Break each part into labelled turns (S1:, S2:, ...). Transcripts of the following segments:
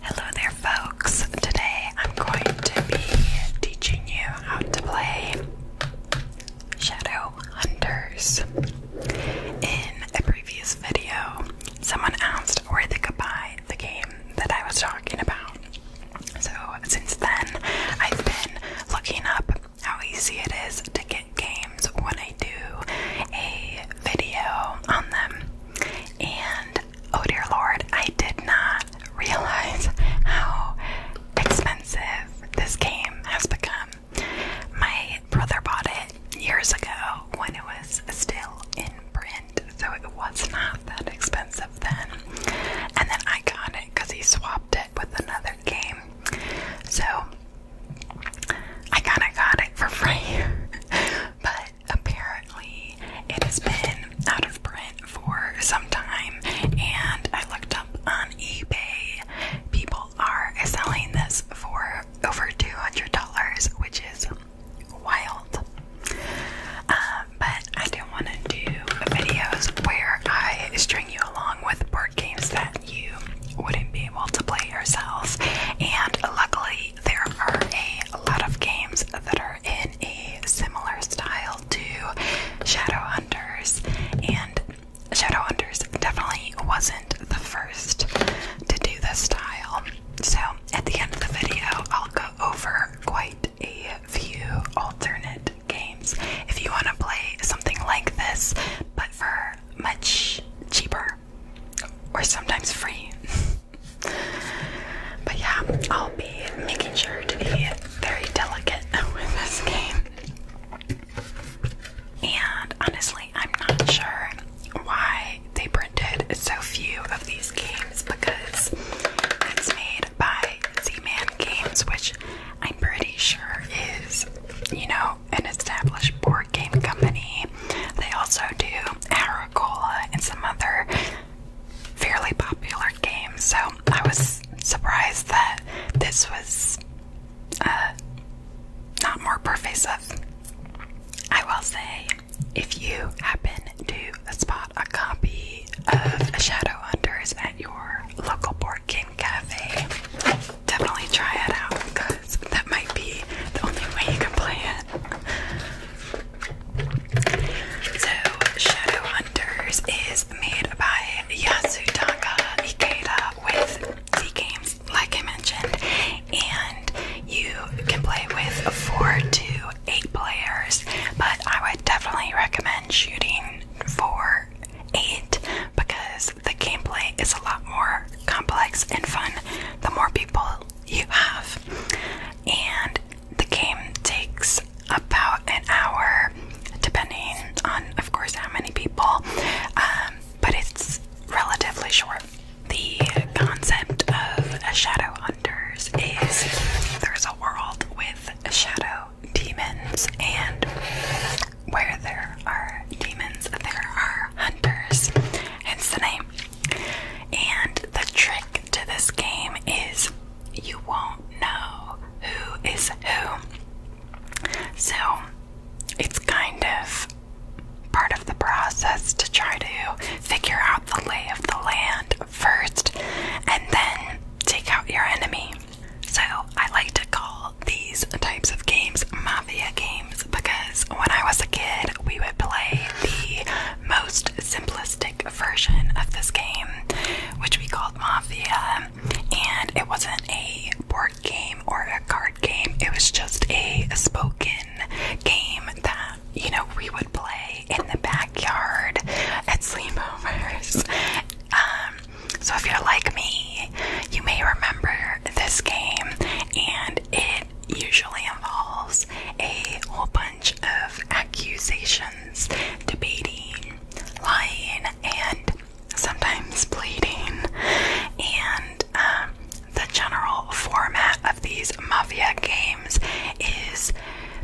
S1: Hello there, folks. Today I'm going to be teaching you how to play Shadow Hunters. In a previous video, someone asked where they could buy the game that I was talking about. So, since then, I've been looking up how easy it is to get games when I do a video on them. And oh dear lord, I did not realize how expensive this game has become. My brother bought it years ago when it was still in print, so it was not that expensive then. And then I got it because he swapped it with another game. So I kind of got it for free. but apparently it has been out of print for some time. And I looked up on eBay, people are selling this for over $200, which is wild. Uh, but I do want to do videos where I string you along with board games that you wouldn't be able to play yourselves, And luckily, there are a lot of games that are in a similar style to Shadowhunters, and Shadowhunters definitely wasn't the first to do this style. So, at the end of the video, I'll go over quite a few alternate games if you want to play something like this, but for much cheaper or sometimes free. but yeah, I'll be making sure to be very delicate with this game. And honestly, I'm not sure why they printed so few of these games because it's made by Z-Man Games, which I'm pretty sure is, you know, an established board game company they also do Agricola and some other fairly popular games, so I was surprised that this was uh, not more pervasive. I will say, if you happen to spot a copy of Shadowhunters at your local board game cafe, definitely try it out because that might be the only way you can play it. So, Shadow Hunters is made by Yasutaka Ikeda with the games, like I mentioned, and you can play with four to eight players. But I would definitely recommend shooting four, eight because the gameplay is a lot more complex and fun the more people you have. And the game takes about an hour, depending on, of course, how many people, um, but it's relatively short. The concept of Shadow Hunters is there's a world with shadow demons, and where there are demons, there are hunters, hence the name. And the trick to this game is you won't know who is who. So it's kind of part of the process to try to figure out the lay of the land first and then take out your enemy. So I like to call these types of games mafia games because when I was a kid, we would play the most simplistic version of this game, which we called Mafia, and it wasn't a board game or a card game, it was just a spoken game that you know we would play in the backyard at sleepovers. Um, so if you're like me, you may remember this game, and it usually involves a whole bunch of accusations, debating, lying, and sometimes pleading. And um, the general format of these mafia games is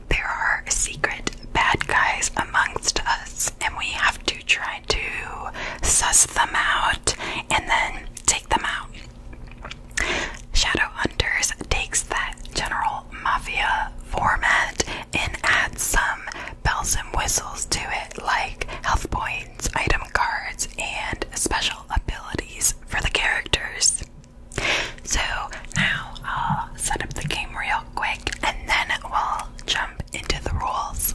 S1: there are secret bad guys amongst us, and we have to try to suss them out and then take them out. Shadow Hunters takes that general mafia format and adds some bells and whistles to it, like health points, item cards, and special abilities for the characters. So now I'll set up the game real quick and then we'll jump into the rules.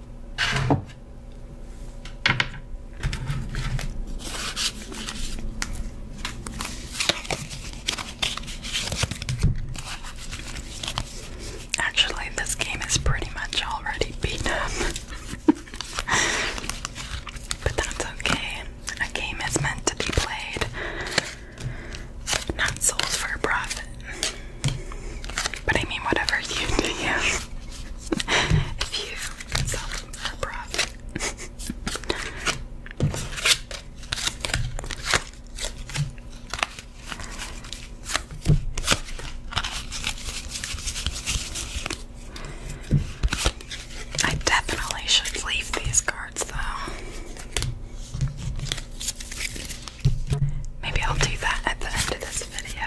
S1: Actually, this game is pretty much already beaten. up. but that's okay. A game is meant to be played, not sold for profit. But I mean, whatever you do, if you sell them for profit. I definitely should leave these cards though. Maybe I'll do that at the end of this video.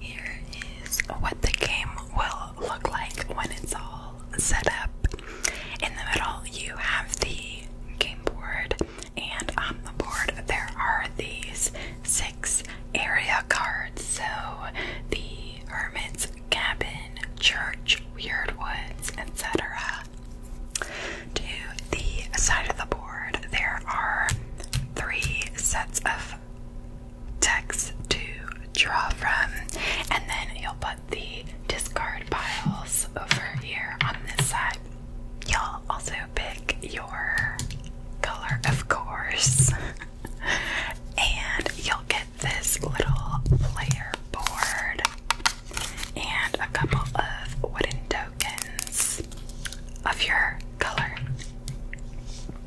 S1: Here is what the game will look like when it's all set up. In the middle, you have the game board, and on the board, there are these six area cards. So the Hermit's Cabin, Church, Weird Woods, etc. To the side of the board, there are three sets of text to draw from, and then you'll put the discard piles over here on this side. You'll also pick your color, of course. and you'll get this little player board and a couple of wooden tokens of your color.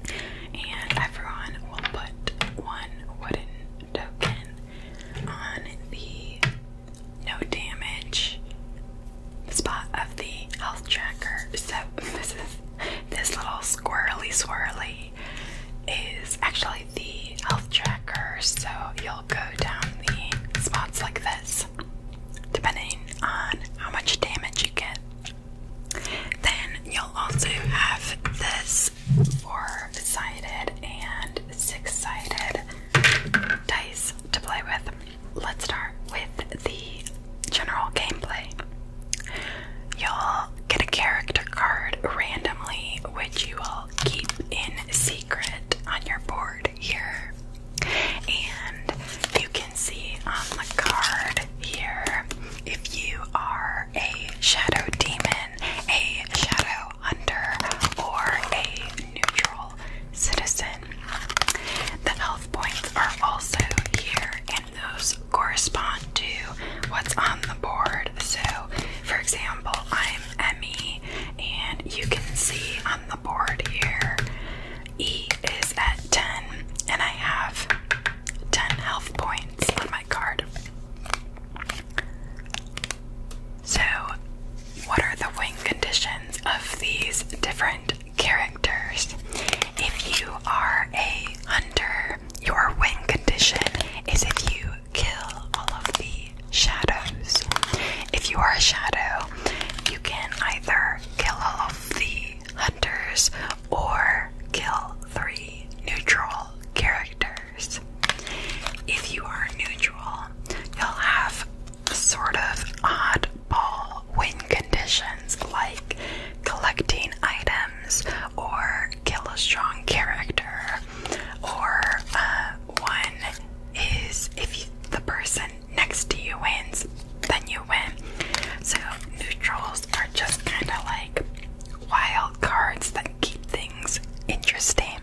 S1: And everyone will put one wooden token on the no damage spot of the health tracker. So this is this little squirrely swirly is actually the health tracker. So you'll go down the spots like this, depending on how much damage you get. Then you'll also have this four-sided and six-sided dice to play with let's start with the general gameplay. You'll get a character card randomly, which you will keep in secret on your board here. And you can see on the card here if you are a shadow demon, a shadow hunter, or a neutral citizen. The health points are also here, and those correspond to what's on the board. So, for example, I'm Emmy, and you can see on the board here E is at 10, and I have 10 health points on my card. So, what are the wing conditions of these different characters. If you are a hunter, your win condition is if you kill all of the shadows. If you are a shadow, you can either kill all of the hunters or kill three neutral characters. If you are neutral, you'll have sort of oddball win conditions like collecting items or kill a strong character, or uh, one is if the person next to you wins, then you win. So, neutrals are just kind of like wild cards that keep things interesting.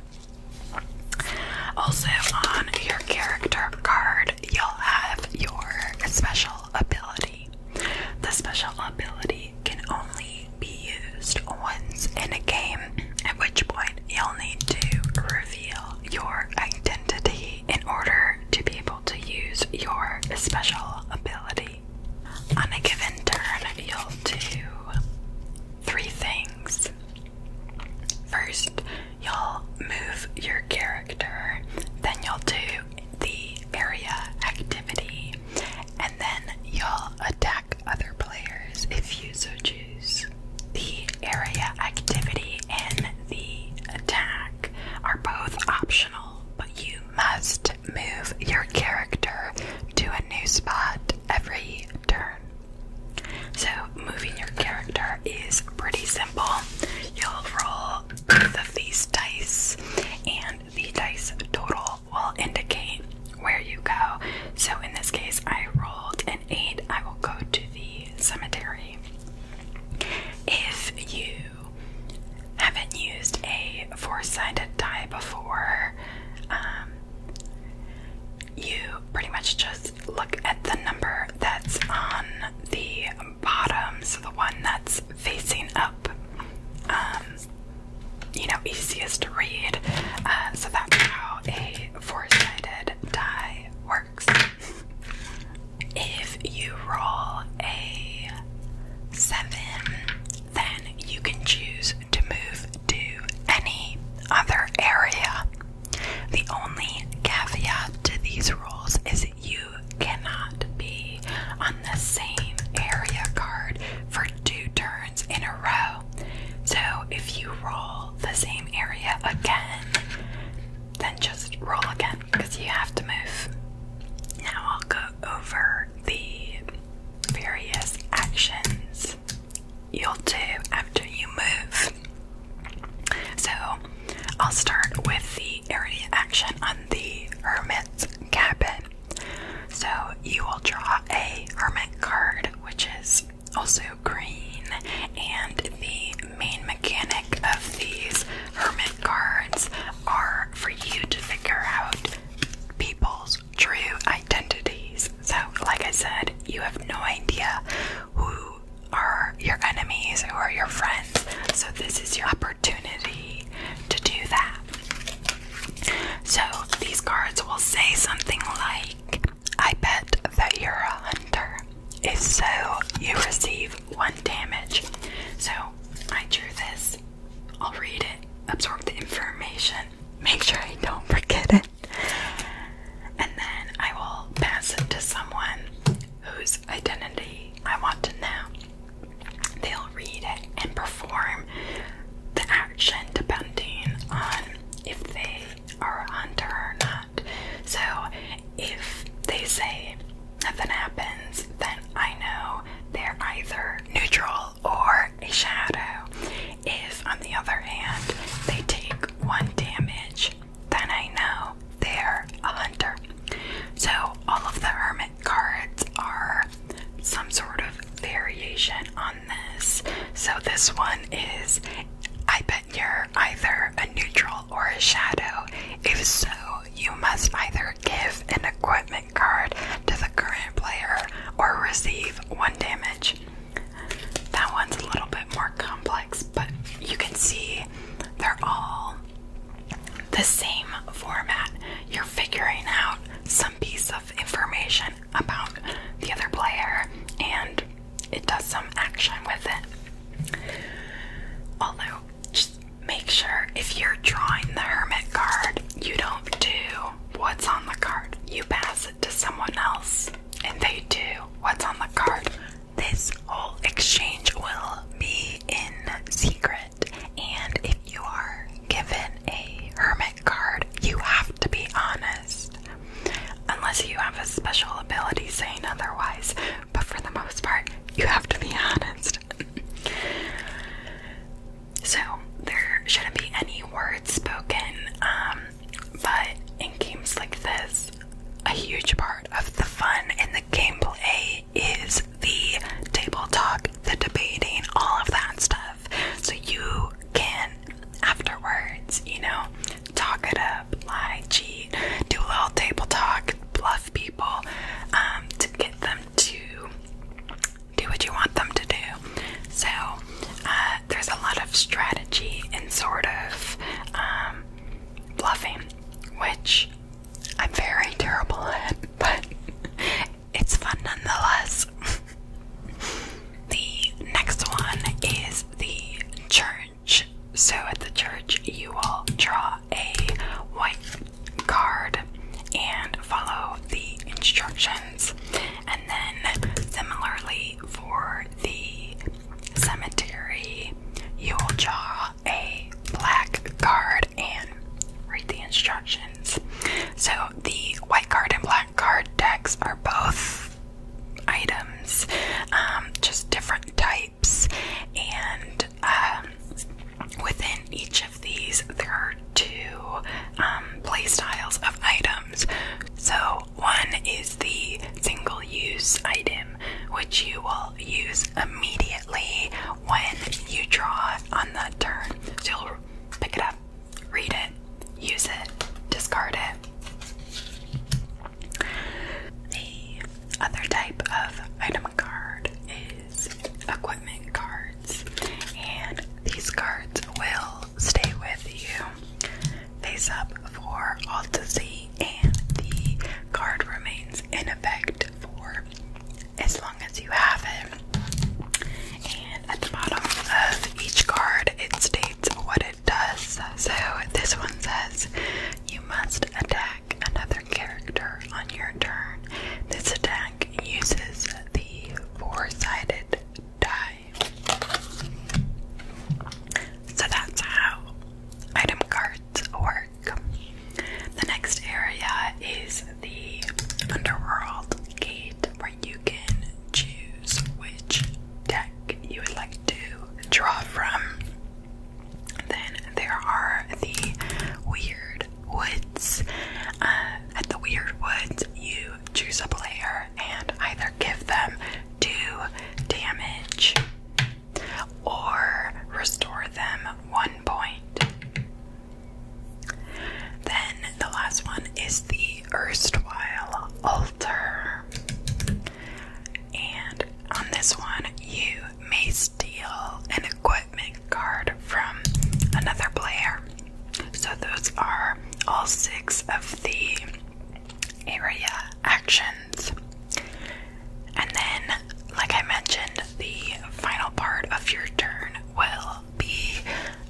S1: Also, on your character card, you'll have your special ability. The special ability can only be used once in a game, at which point you'll need to reveal your identity in order to be able to use your special ability. On a given turn, you'll do three things. First, you'll move your character, then you'll do the area activity, and then you'll attack other players if you so choose. The area activity and the attack are both optional, but you must move your character to a new spot every turn. So, moving your character is pretty simple. You'll roll both these dice, and the dice total will indicate where you go. So in this case, I rolled an 8, I will go to the cemetery. If you haven't used a four sided die before, um, you pretty much just look at the number that's on the bottom, the one that's facing up, um, you know, easiest to read. Uh, so that's how a four sided die works. If you roll a seven, then you can choose to move to any other area. The only caveat to these rules is you cannot be on the same area card for two turns in a row. So if you roll the same area again, then just roll again because you have to move. Now I'll go over the various actions you'll do after you move. So I'll start with the area action on the hermit's cabin. So you will draw a hermit card, which is also green, and the main mechanic of these hermit cards are for you to figure out people's true identities. So, like I said, you have no idea who are your enemies, or your friends. So, this is your opportunity to do that. So, these cards will say something like, I bet that you're a hunter. If so, you receive one damage. So, I drew this. I'll read it, absorb the information, make sure I don't forget it, and then I will pass it to someone whose identity I want to know. They'll read it and perform the action depending on if they are a hunter or not. So if they say nothing happens, then I know they're either neutral or a shadow. If, on the other hand, they take one damage, then I know they're a hunter. So, all of the hermit cards are some sort of variation on this. So, this one is I bet you're either a neutral or a shadow. If so, you must either give an equipment card to the current player or receive one damage. That one's a little bit more complex, but you can see they're all the same format. You're figuring out some piece of information about the other player and it does some action with it. Although, just make sure if you're drawing the Hermit card, you don't do what's on the card. You pass it to someone else and they do what's on the card. This all exchange will be in secret, and if you are given a hermit card, you have to be honest. Unless you have a special ability saying otherwise, but for the most part, you have to be honest. so, there shouldn't be any words spoken, um, but in games like this, a huge part of the fun in the gameplay is the table talk, the debating, all of that stuff. So you can afterwards, you know, talk it up, lie, cheat, do a little table talk, bluff people, um, to get them to do what you want them to do. So uh, there's a lot of strategy and sort of um, bluffing, which I'm very terrible at it, but it's fun nonetheless. the next one is the church. So at the church, you will draw a white card and follow the instructions. And then, similarly, for the cemetery, you will draw a black card and read the instructions. So, the white card and black card decks are both items, um, just different types, and um, within each of these, there are two um, play styles of items. So, one is the single use item, which you will use immediately when you draw on the turn. you'll pick it up, read it, use it, discard it. The other type of item card is equipment cards, and these cards will stay with you face up for all to see, and the card remains in effect for as long as you have it. And at the bottom of each card, it states what it does. So this one says, You must attack another character on your turn. This attack uses the four sided die. So that's how item cards work. The next area is the Underworld Gate, where you can choose which deck you would like to draw from. Then there are the Weird Woods. Uh, at the Weird Woods, you choose a player and either give them two damage or restore them one point. Then the last one is the erstwhile altar. And on this one, you may steal an equipment card from another player. So, those are all six of the area actions. And then, like I mentioned, the final part of your turn will be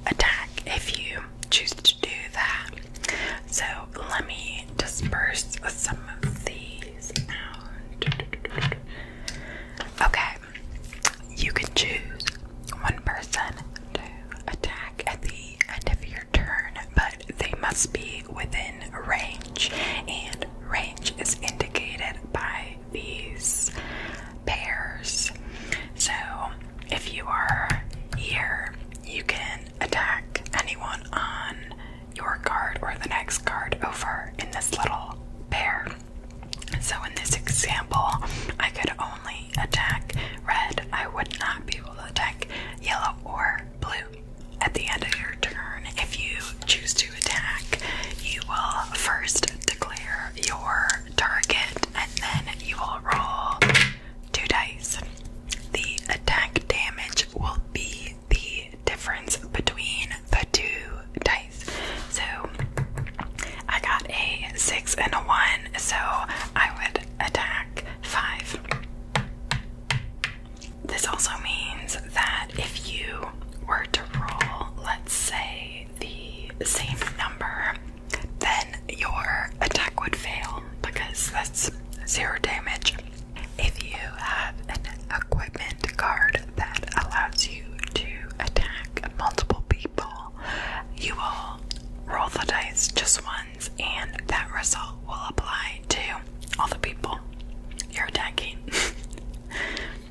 S1: attack if you choose to do that. So let me disperse some of these out. Okay, you can choose one person to attack at the end of your turn, but they must be within range, and range is indicated by these pairs. So if you are here, you can attack anyone on your card or the next card over in this little pair. So in this example, I could only attack red. I would not be able to attack yellow or blue at the end of your turn if you choose to attack, you will first declare your target and then you will roll two dice. The attack damage will be the difference between the two dice. So I got a six and a one, so I would attack five. This also means that if you were to roll, let's say, the same number, then your attack would fail because that's zero damage. If you have an equipment card that allows you to attack multiple people, you will roll the dice just once, and that result will apply to all the people you're attacking.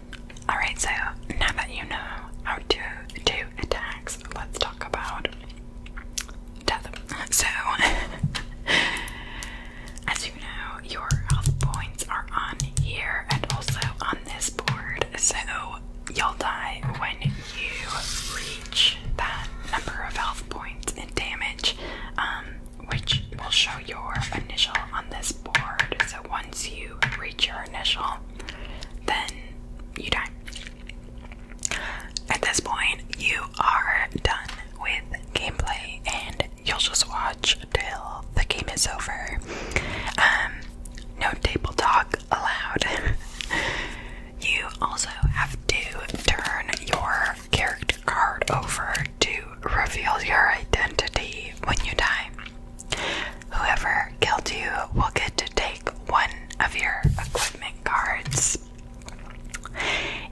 S1: Alright, so now that you know how to do attacks, let's talk about death. So, as you know, your health points are on here and also on this board, so you'll die when you reach that number of health points and damage, um, which will show your initial on this board. So once you reach your initial, then you die. At this point, you are done with gameplay and you'll just watch till the game is over. Um, no table talk allowed. you also have to turn your character card over to reveal your identity when you die. Whoever killed you will get to take one of your equipment cards.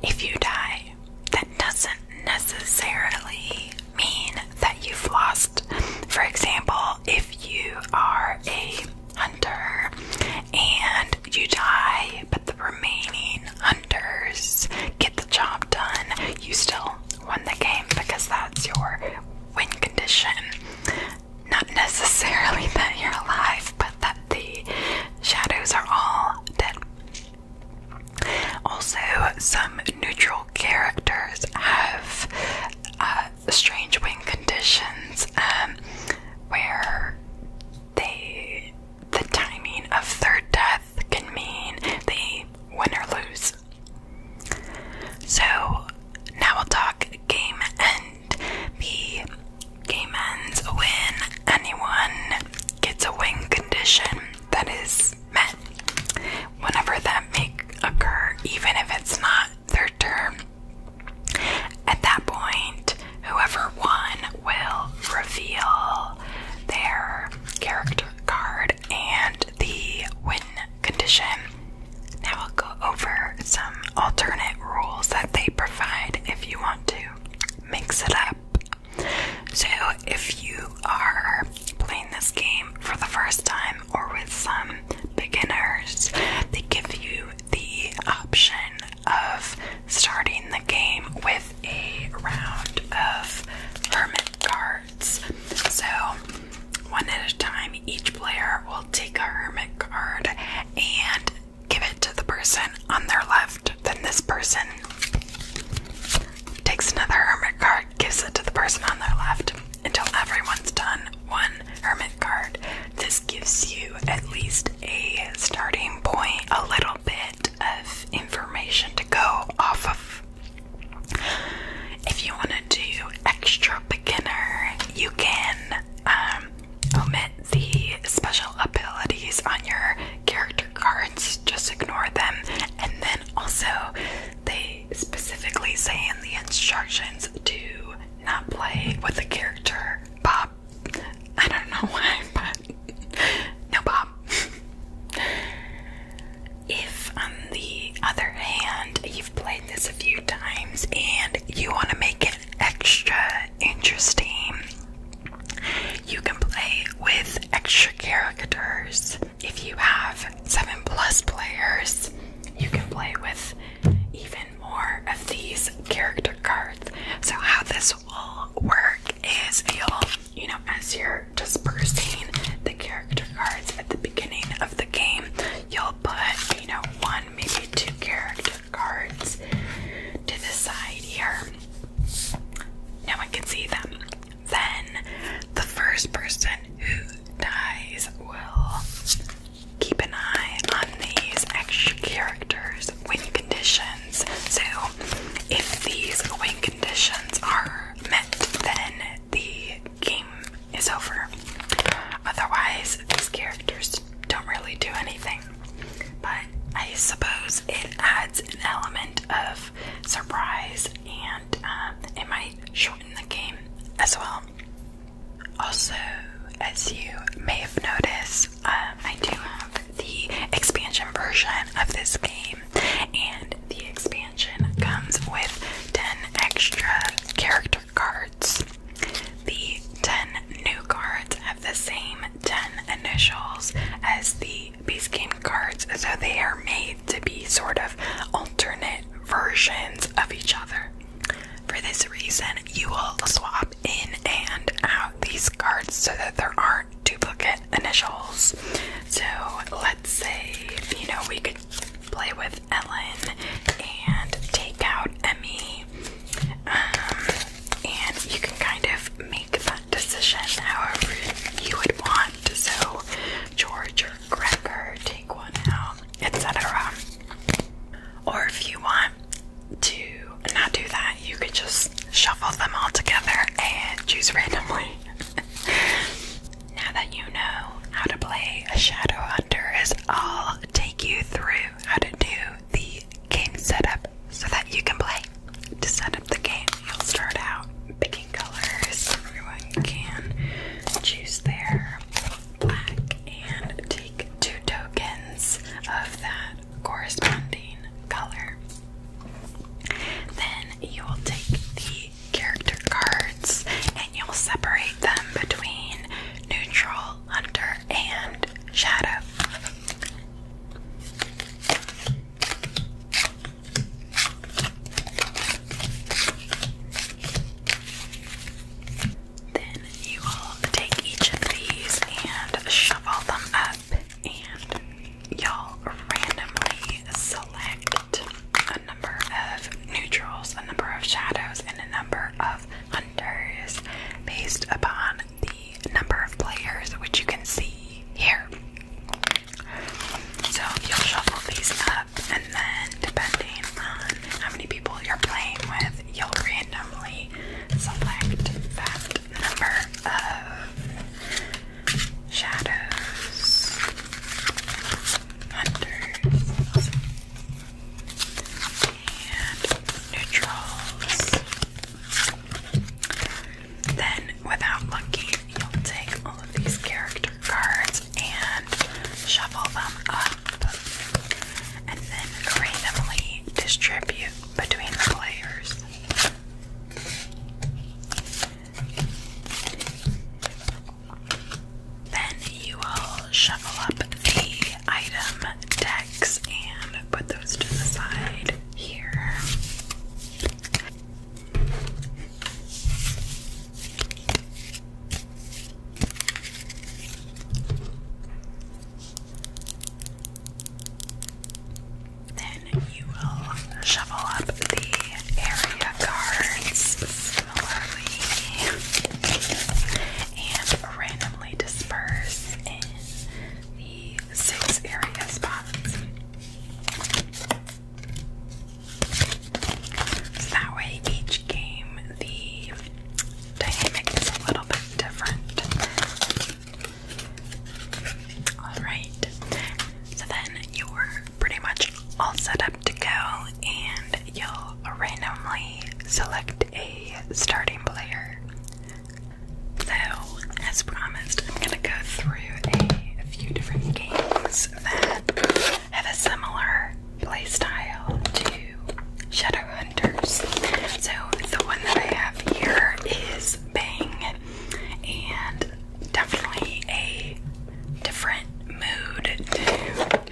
S1: If you die, that doesn't necessarily mean that you've lost. For example, if you are a hunter and you die, but the remaining hunters get the job done, you still won the game because that's your win condition. Not necessarily that you're alive, but that the shadows are all dead. Also, some neutral characters have uh, strange win conditions um, where they the timing of third death can mean they win or lose. So now we'll talk game end. The game ends when anyone gets a win condition that is met. Whenever that may occur, even if it's not their turn. At that point, whoever won will reveal their character card and the win condition. Now I'll go over some alternate rules that they provide if you want to mix it up. So, if you are playing this game for the first time or with some beginners, they give you the option of starting the game with a round of hermit cards. So, one at a time, each player will take a hermit card and give it to the person on their left. Then, this person takes another hermit card, gives it to the person on their left until everyone's done one hermit card. This gives you at least a starting point, a little bit of information to go off of if you want to do extra beginner, you can um, omit the special abilities on your character cards, just ignore them, and then also they specifically say in the instructions to not play with the character Bob. I don't know why, but no Bob. If, on the other hand, you've played this a few times and you want to make it extra interesting, you can play with extra characters. If you have 7 plus players, you can play with even more of these character cards. So, how this will work is you'll, you know, as you're dispersing the character cards at the beginning of the game, you'll put, you know, one, maybe two character cards to the side here. No one can see them. Then the first person who dies will keep an eye on these extra characters' win conditions. So if these win conditions are met, then the game game is over. Otherwise, these characters don't really do anything. But I suppose it adds an element of surprise and um, it might shorten the game as well. Also, as you may have noticed, um, I do have the expansion version of this game and the expansion comes with 10 extra character cards. The 10 new cards have the same 10 initials as the base game cards, so they are made to be sort of alternate versions of each other. For this reason, you will swap in and out these cards so that there aren't duplicate initials. So let's say, you know, we could play with Ellen and take out Emmy. Um, and you can kind of make that decision however you would want. So, George or Gregor, take one out, etc. Or if you want to not do that, you could just shuffle them all together and choose randomly. Now that you know how to play a Shadow Hunters, I'll take you through how to do the game setup so that you can play. To set up the game, you'll start out picking colors. Everyone can choose their black and take two tokens of that corresponding color. Then you will take the character cards and you'll separate them between neutral, hunter, and shadow. Then you will take each of these and shove all them up, and you'll randomly select a number of neutrals, a number of shadows, and a number of hunters based upon the number of players, which you can see here. So you'll shuffle these up, and then depending on how many people you're playing with, you'll randomly select that number of shadows hunters, and neutrals. Then, without looking, you'll take all of these character cards and shuffle them up, and then randomly distribute between the players. Then you will shuffle up the item decks and put those to the side here. Then you will shuffle up the area cards similarly and randomly disperse in the six area spots. So that way, each game the dynamic is a little bit different. Alright, so then your pretty much all set up to go, and you'll randomly select a starting player. So, as promised, I'm gonna go through a, few different games that have a similar play style to Shadowhunters. So, the one that I have here is Bang, and definitely a different mood to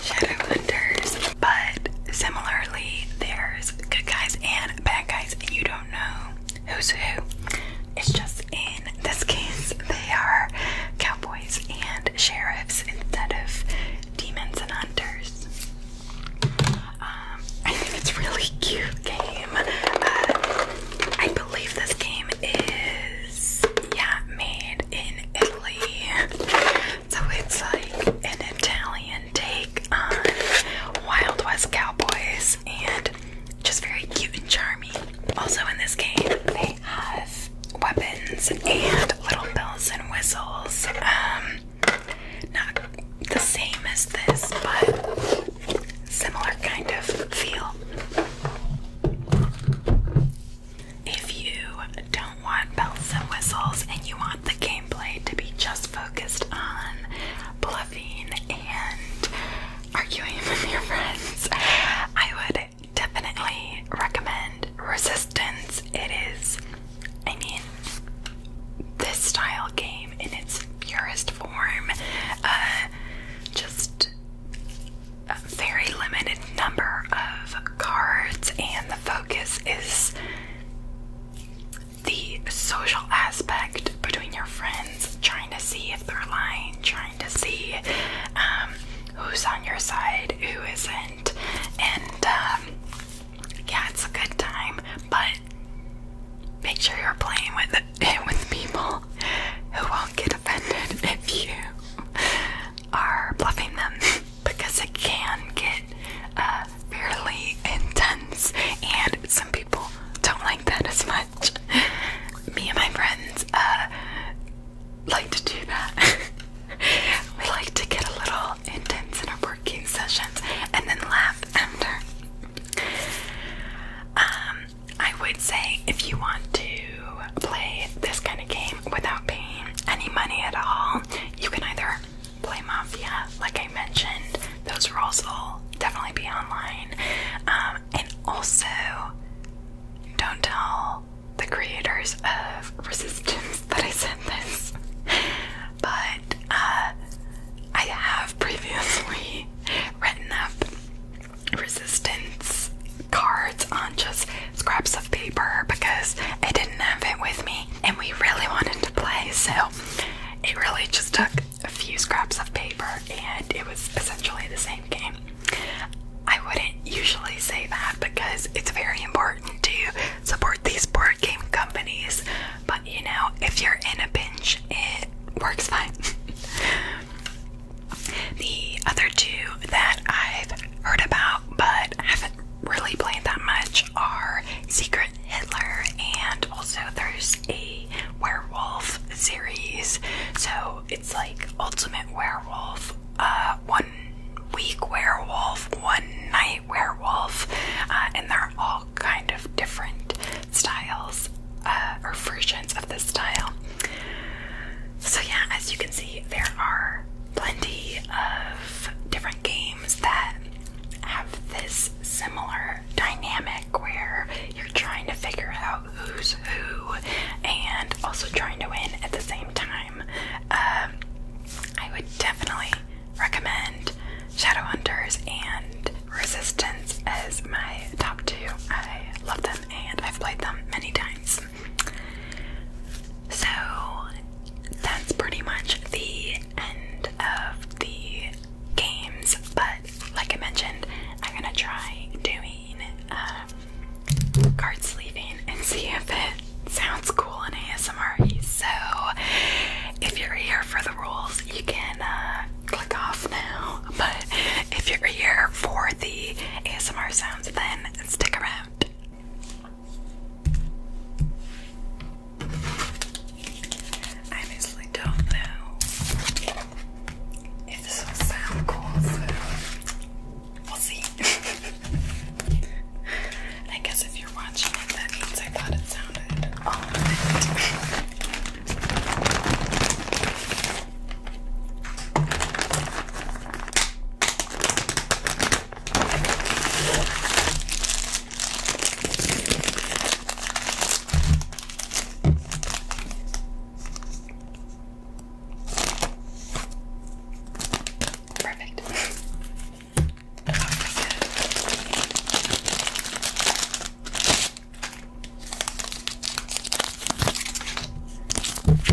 S1: Shadow Hunters, but similarly, there's good guys and bad guys, and you don't know who's who. It's just in this case, they are cowboys and sheriffs instead of demons and hunters. Um, I think it's really cute game. Uh, I believe this game is yeah made in Italy, so it's like an Italian take on Wild West cowboys and just very cute and charming. Also in this game, they have weapons and little bells and whistles. Um, not the same as this, but similar kind of feel. If you don't want bells and whistles and you want the gameplay to be just focused on bluffing and arguing with your friends, I would definitely recommend Resistance. It is, I mean, this style game in its purest form. Uh, just a very limited number of cards, and the focus is the social aspect between your friends, trying to see if they're lying, trying to see um, who's on your side, who isn't, and um, yeah, it's a good time, but make sure you're playing with with people who won't get offended if you are bluffing them because it can get uh, fairly intense, and some people don't like that as much. Me and my friends uh, like to do that. we like to get a little intense in our working sessions and then laugh after. Um, I would say if you want to play this kind of game without paying any money at all. You can either play Mafia, like I mentioned, those rules will definitely be online. Um, and also, don't tell the creators of Resistance that I said this, but uh, I have previously written up Resistance cards on just scraps of paper because I didn't have it with me and we really wanted to play, so it really just took a few scraps of paper and it was essentially the same game. I wouldn't usually say that because it's very important to support these board game companies, but you know, if you're in a pinch, it works fine. The other two that I've heard about but haven't really played that much are Secret Hitler and also there's a werewolf series. So it's like Ultimate Werewolf, uh, One Week Werewolf, One Night Werewolf, uh, and they're all kind of different styles uh, or versions of the style. So, yeah, as you can see, there are plenty of different games that have this similar dynamic where you're trying to figure out who's who and also trying to win at the same time. Um, I would definitely recommend Shadowhunters and Resistance as my top two. I love them and I've played them many times. So that's pretty much the end of the games, but like I mentioned, I'm gonna try doing uh, card sleeving and see if it sounds cool in ASMR. So if you're here for the rules, you can uh, click off now, but if you're here for the ASMR sounds, then stick around. I honestly don't know if this will sound cool, we'll see. I guess if you're watching it, that means I thought it sounded Perfect. oh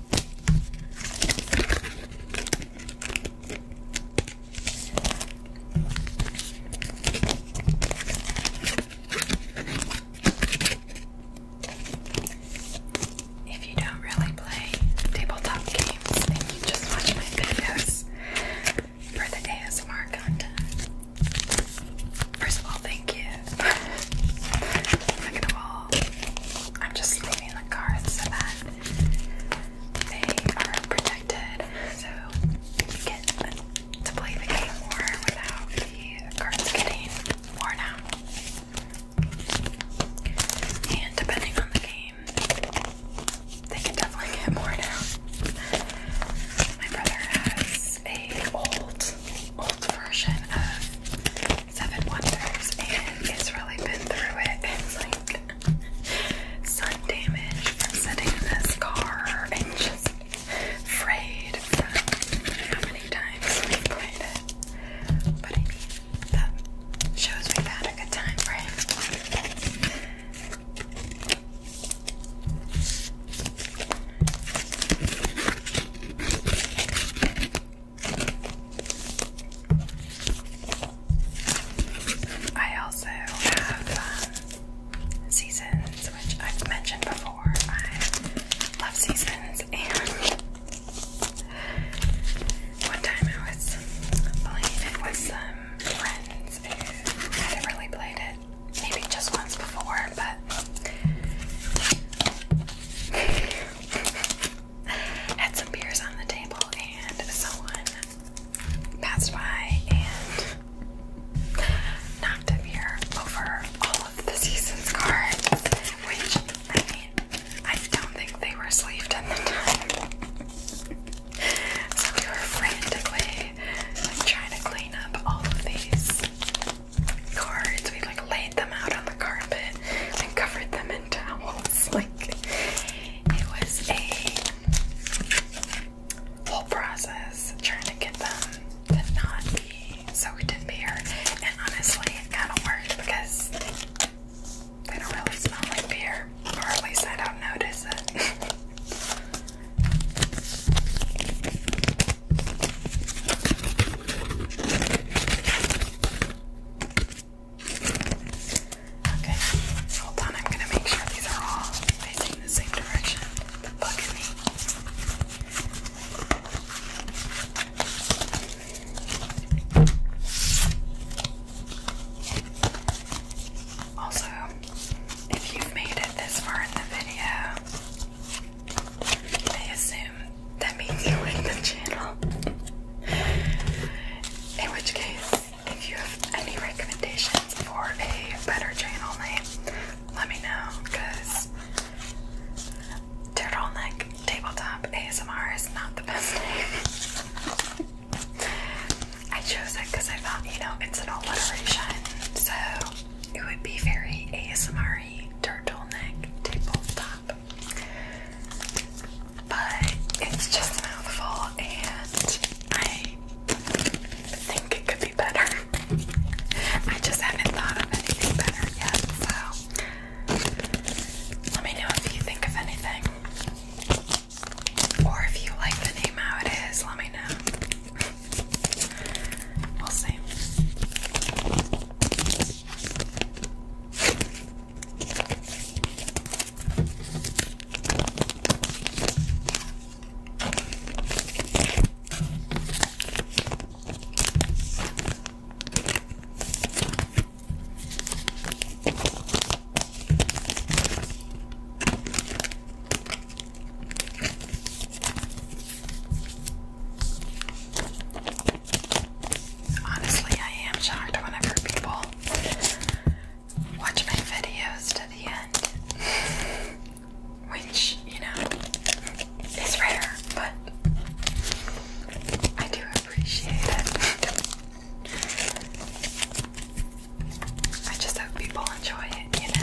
S1: If you don't really play tabletop games and you just watch my videos for the ASMR content, first of all, thank you. Second of all, I'm just leaving the cards so that they are protected, so you get to play the game more without the cards getting worn out. And depending on the game, they can definitely get worn out. My brother has a old, old version of Seven Wonders and it's really been through it. And It's like sun damage from this car and just frayed from how many times we've played it. But I that shows we've had a good time, right? I also have um, seasons, which I've mentioned before. I love seasons, and one time I was playing it with some friends who had really played it, maybe just once before, but had some beers on the table, and someone passed by and knocked a beer over all of the season's cards, which I mean, I don't think they were sleeved at the time. so we were frantically trying to clean up all of these cards. We like laid laid them out on the carpet and covered them in towels. Like it was a whole process trying to get them to not be soaked in beer. And honestly, it kind of worked because they don't really smell like beer, or at least I don't notice it. Okay, hold on, I'm gonna make sure these are all facing the same direction. The bug in me. Also, if you've made it this far in the video, I assume that means you like the channel. In which case, if you have any recommendations for a better channel name, let me know because turtle neck Tabletop ASMR is not the best name. I chose it because I thought, you know, it's an alliteration, so it would be very ASMR turtle neck tabletop but it's just a mouthful and I think it could be better. I just haven't thought of anything better yet, so let me know if you think of anything. Or if you like the name how it is, let me know. we'll see. Honestly, I am shocked whenever people watch my videos to the end, which, you know, is rare, but I do appreciate it. I just hope people enjoy it, you know.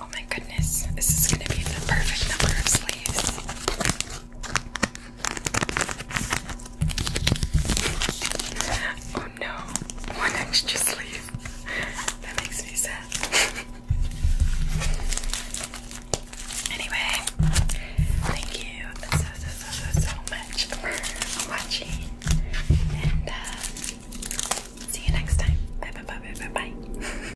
S1: Oh my goodness, this is going to be the perfect number of sleeves. Oh no, one extra sleeve. That makes me sad. anyway, thank you so, so, so, so, so much for watching. And uh, see you next time. Bye, bye, bye, bye, bye. bye.